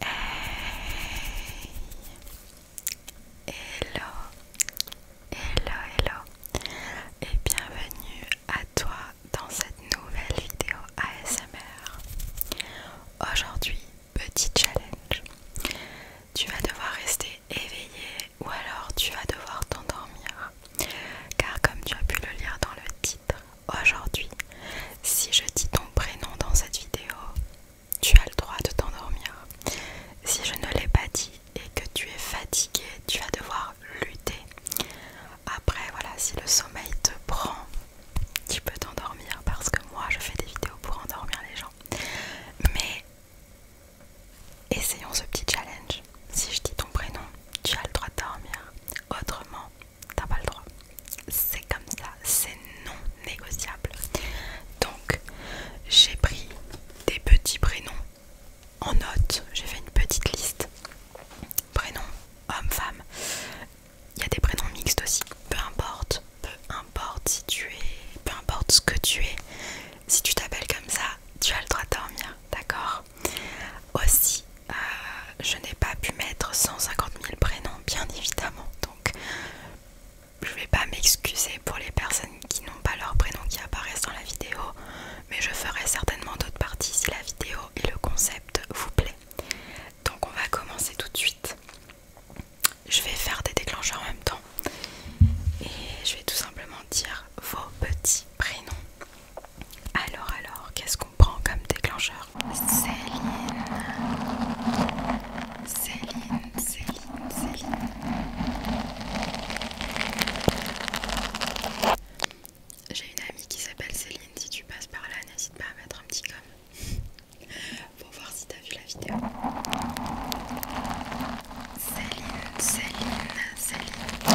Hey Hello Hello Hello Et bienvenue à toi dans cette nouvelle vidéo ASMR Aujourd'hui, petit challenge Tu vas devoir rester éveillé ou alors tu vas devoir t'endormir car comme tu as pu le lire dans le titre, Aujourd'hui, si je dis ton prénom dans cette vidéo, tu as le droit de t'endormir. Si je ne l'ai pas dit et que tu es fatigué, tu vas devoir lutter. Après, voilà, si le sommeil te prend, tu peux t'endormir parce que moi, je fais des vidéos pour endormir les gens. Mais essayons ce petit challenge. Si je dis ton prénom, tu as le droit de dormir. Autrement, t'as pas le droit. C'est comme ça, c'est non négociable. Donc j'ai pris des petits prénoms en note, j'ai fait une petite liste. Prénoms homme-femme. Il y a des prénoms mixtes aussi. Peu importe, peu importe si tu es, peu importe ce que tu es, si tu t'appelles comme ça, tu as le droit de dormir, d'accord aussi, euh, je n'ai pas pu mettre 150 000 prénoms, bien évidemment. Donc, je vais pas m'excuser pour les personnes qui n'ont pas leurs prénoms qui apparaissent dans la vidéo, mais je ferai certainement d'autres parties si la vidéo et le concept vous plaît. Donc, on va commencer tout de suite. Je vais faire des déclencheurs en même temps et je vais tout simplement dire vos petits prénoms. Alors, alors, qu'est-ce qu'on prend comme déclencheur Céline. Céline, Céline, Céline. J'ai une amie qui s'appelle Céline. Si tu passes par là, n'hésite pas à mettre un petit comme Pour voir si t'as vu la vidéo. Céline, Céline, Céline.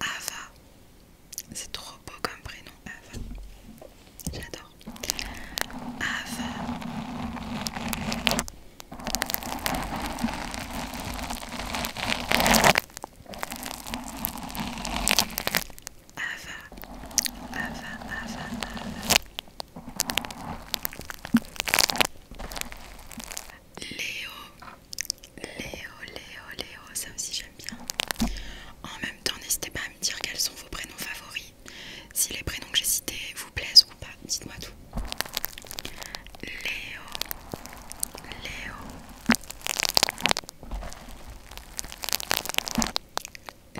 Ava. C'est trop beau comme prénom, Ava. J'adore. Ava. Ava, Ava, Ava, Ava. Léo, Léo, Léo, Léo, ça aussi j'aime bien. En même temps, n'hésitez pas à me dire quels sont vos prénoms favoris. Si les prénoms que j'ai cités vous plaisent ou pas, dites-moi tout. Léo, Léo, Léo,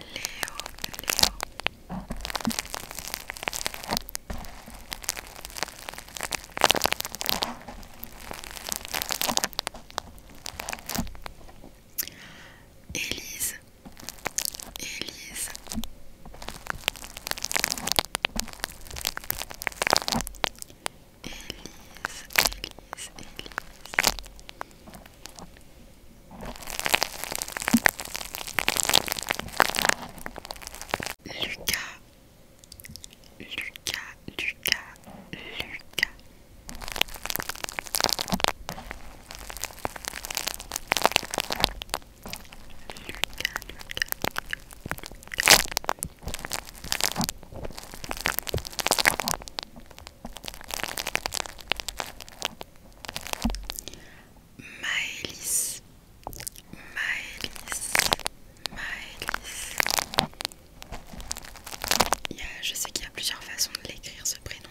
Léo. Élise, Élise. Élise, Élise, Élise. Lucas, Lucas, Lucas, Lucas. Lucas, Maëlys, je sais qu'il y a plusieurs façons de l'écrire ce prénom-là.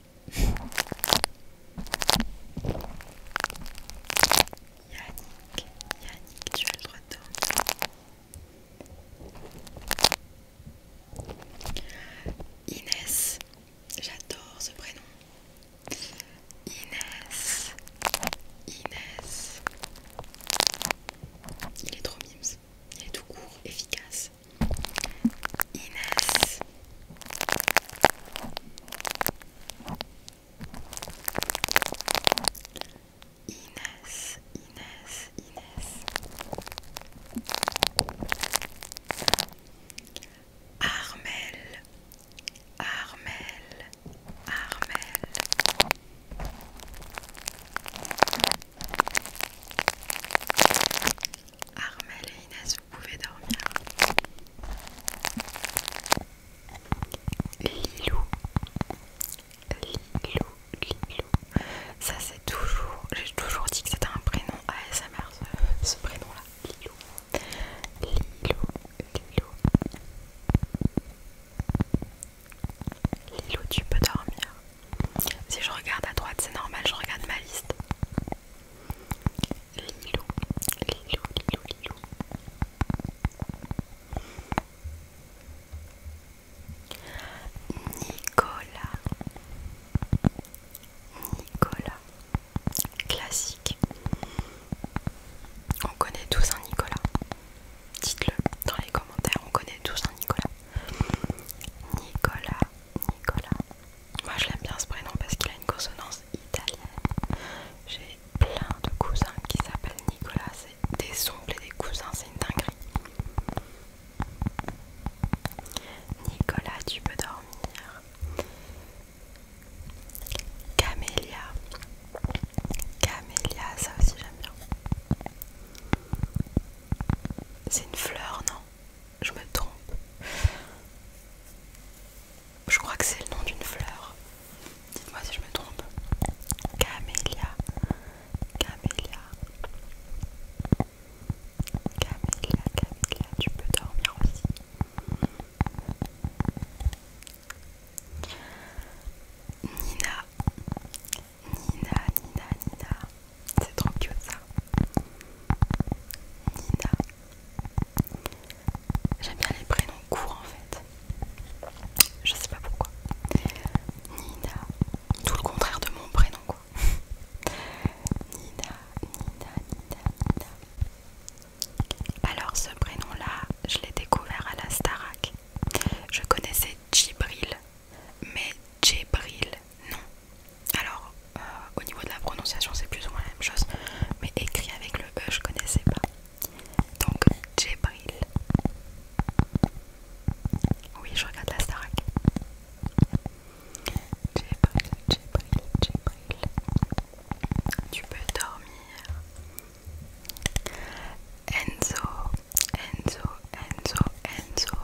Yannick, Yannick, tu as le droit de Inès, j'adore ce prénom. Inès, Inès. Il est trop mimes, il est tout court, efficace. Inès, Inès, Inès, Inès. Armel, Armel, Armel. Armel et vous pouvez dormir. Lilou. Lilou, Lilou. Ça c'est toujours, j'ai toujours dit que c'était un prénom ASMR ce, prénom là. Lilo, Lilou, Lilou. Lilou, tu peux dormir. Si je regarde à droite, c'est normal, je regarde ma liste. Lilo, Lilo, Lilo, Nicolas, Nicolas, classique. On connaît tous un Nicolas. Dites-le dans les commentaires, on connaît tous un Nicolas. Nicolas, Nicolas, moi je l'aime bien ce prénom parce qu'il a une consonance italienne. J'ai plein de cousins qui s'appellent Nicolas, c'est des ongles et des cousins, c'est une dinguerie. Nicolas, tu peux dormir. Camélia. Camélia, ça aussi j'aime bien. C'est une fleur, non je me trompe. Je crois que c'est le nom d'une fleur. Dites-moi si je me trompe. Camélia. Camélia. Camélia, Camélia, tu peux dormir aussi. Nina. Nina, Nina, Nina. C'est trop cute ça. Nina. J'aime bien les prénoms courts en fait. Je sais pas pourquoi. Nina. Tout le contraire de mon prénom quoi. Nina, Nina, Nina, Nina. Alors ce prénom là, je l'ai découvert à la Starak. Je connaissais Jibril mais Jébril, non. Alors, euh, au niveau de la prononciation, c'est plus ou moins la même chose, mais écrit avec le E, je connaissais pas. Donc, Jébril Oui, je regarde la Starac. Jébril, Jébril, Jébril Tu peux dormir. Enzo, Enzo, Enzo, Enzo.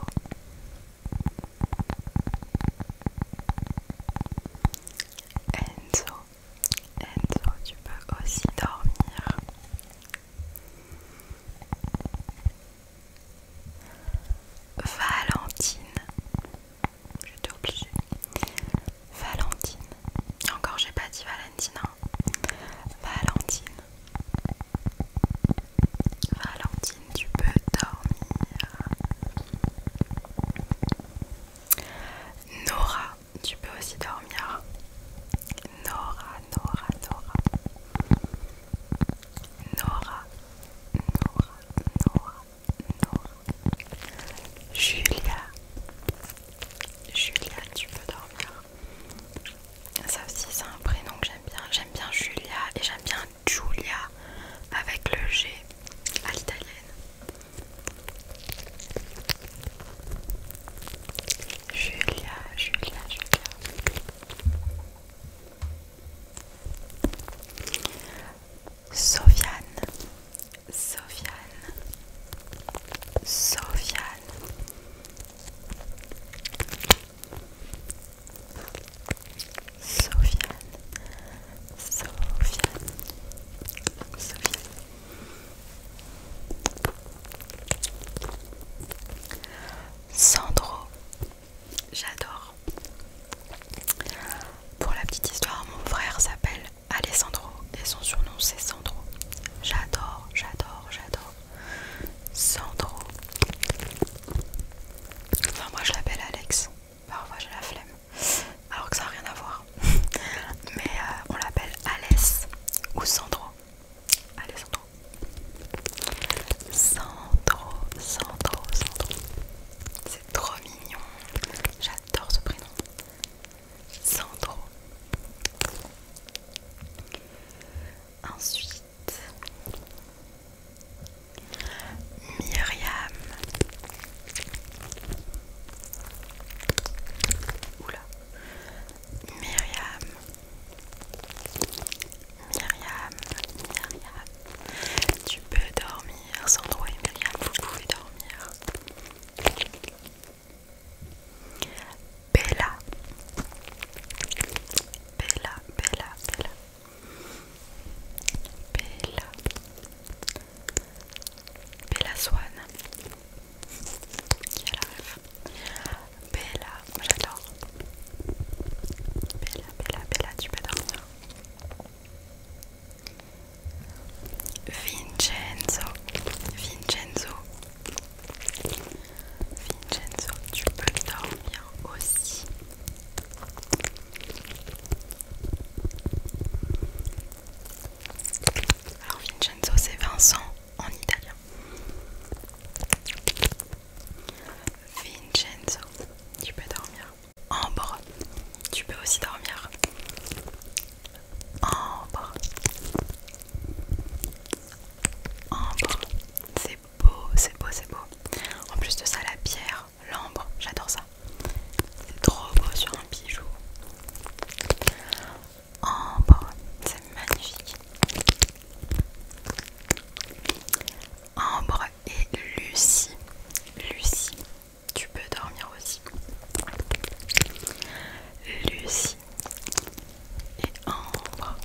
Enzo, Enzo, tu peux aussi dormir. Valentine, j'étais obligée. Valentine, encore j'ai pas dit Valentine. Hein. Valentine, Valentine, tu peux dormir. Nora, tu peux aussi dormir. Nora, Nora, Nora. Nora, Nora, Nora, Nora. Julia, Julia, tu peux dormir. Ça aussi c'est un prénom que j'aime bien. J'aime bien Julia et j'aime bien Julia avec le G à l'italienne. Julia, Julia, Julia. Sofiane, Sofiane, Sofiane, Sofiane, Sofiane, Sofiane. Sandro, j'adore. Pour la petite histoire, mon frère s'appelle Alessandro et son surnom c'est Sandro. J'adore, j'adore, j'adore. Sandro. Enfin, moi je l'appelle Alex. Parfois j'ai la flemme. Alors que ça n'a rien à voir. Mais euh, on l'appelle Alès ou Sandro. Allez, Sandro. Sandro, Sandro, Sandro. C'est trop mignon. J'adore ce prénom. Sandro. Ensuite, Myriam. Oula. Myriam. Myriam. Myriam. Tu peux dormir sans toi, Myriam. Vous pouvez dormir. Bella. Bella, Bella, Bella. Bella. Bella Swan. Bella, j'adore. Bella, Bella, Bella, tu peux dormir. Vincenzo, Vincenzo, Vincenzo, tu peux dormir aussi. Alors Vincenzo, c'est Vincent en italien. Vincenzo, tu peux dormir. Ambre, tu peux aussi dormir. Ambre. Ambre. C'est beau, c'est beau, c'est beau. En plus de ça, la pierre, l'ambre, j'adore ça. C'est trop beau sur un bijou. Ambre, c'est magnifique. Ambre et Lucie. Lucie, tu peux dormir aussi. Lucie, et ambre.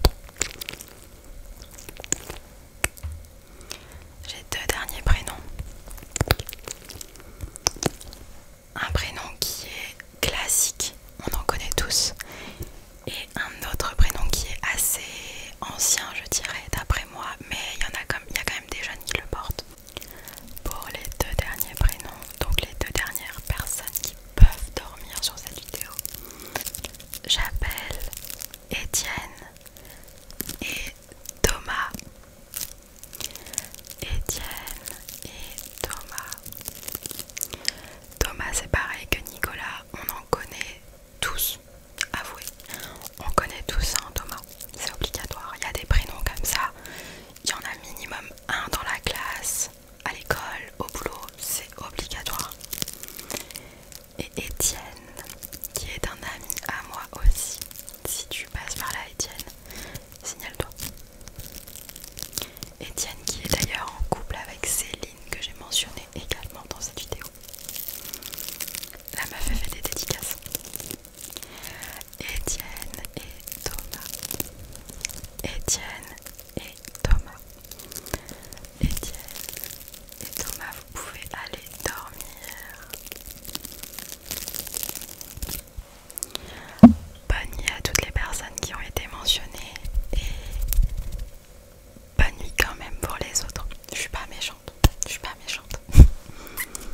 J'ai deux derniers prénoms. Un prénom qui est classique, on en connaît tous, et un autre prénom qui est assez ancien, je dirais, d'après moi, mais il y en a comme il y a quand même des jeunes qui le portent. Pour les deux derniers prénoms, donc les deux dernières personnes qui peuvent dormir sur cette vidéo, j'appelle Étienne et Thomas. Étienne et Thomas. Thomas c'est pareil que Nicolas, on en connaît tous, avouez. On connaît tous un hein, Thomas, c'est obligatoire. Il y a des prénoms comme ça il y en a minimum un dans la classe, à l'école, au boulot, c'est obligatoire. Et Étienne, qui est un ami à moi aussi, si tu passes par là Étienne, signale-toi. Étienne qui est d'ailleurs en couple avec Céline que j'ai mentionné également dans cette vidéo. La m'a fait des dédicaces. Étienne et Thomas. Étienne et Thomas. Étienne et Thomas, vous pouvez aller dormir. Bonne nuit à toutes les personnes qui ont été mentionnées et bonne nuit quand même pour les autres. Je suis pas méchante, je suis pas méchante.